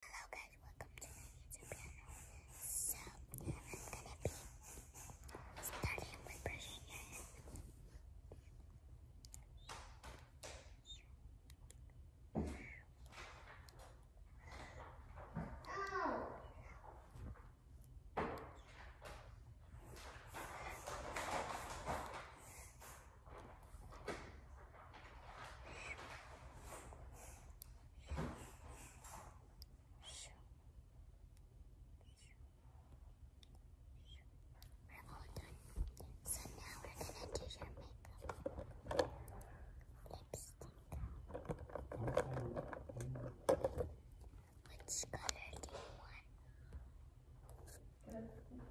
Hello guys, welcome to my YouTube piano. So I'm gonna be starting with brushing your hair. Brush, we're all done. So now we're gonna do your makeup. Lipstick. Which color do you want? Pink.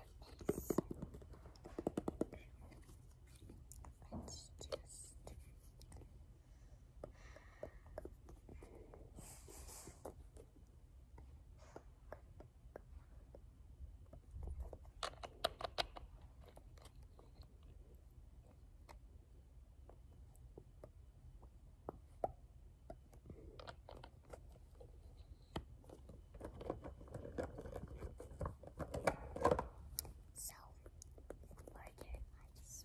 Let's just so, burger ice.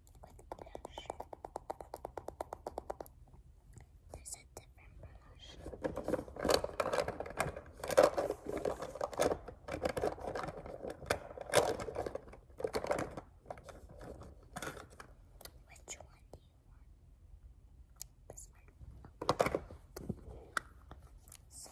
with There's a different blush. Which one do you want? This one. So,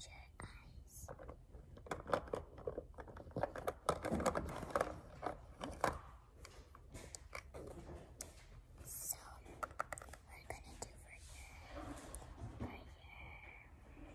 your eyes. So, we gonna do for your, for your, your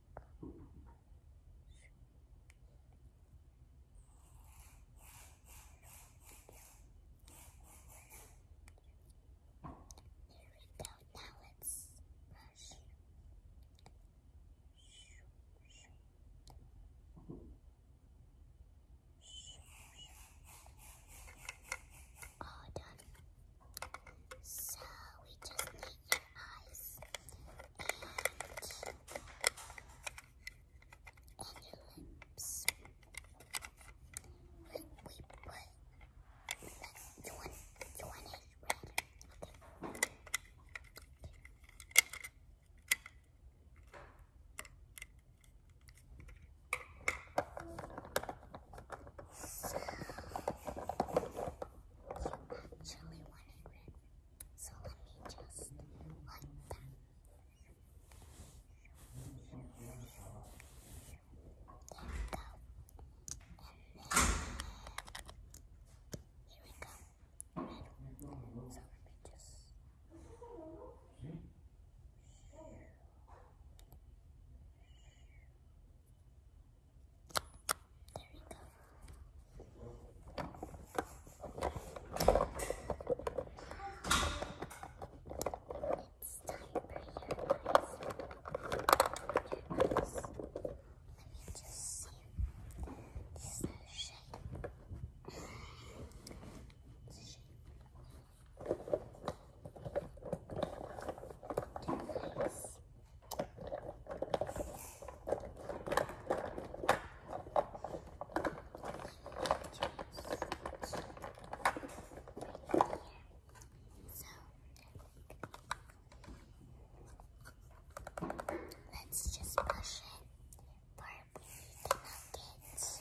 Now let's brush. All done. So we just need your eyes and, your lips. We, put you want red. So, actually want red. So let me just like that. There we go. here we go. So let me just there we go. It's time for your eyes. Your eyes. Let me just see. This is a shape. It's a shape. Your eyes. So let's just brush it. For we cannot get, for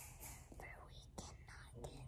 we cannot get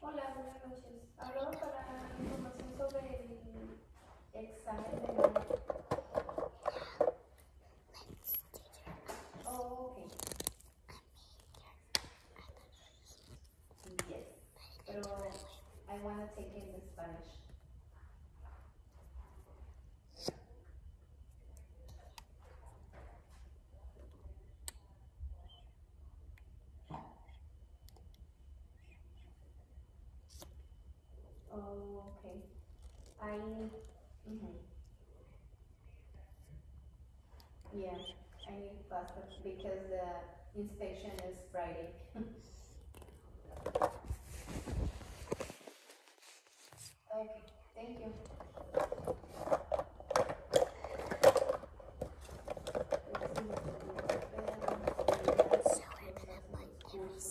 Hola, buenas noches. Hablamos para información sobre el examen de... okay. Yes. Pero I want to take it in the Spanish. okay. I, mm -hmm. yeah, I need classes because the inspection is Friday. Okay, thank you. So I'm gonna put every single one in your lips, okay? Yeah. So these.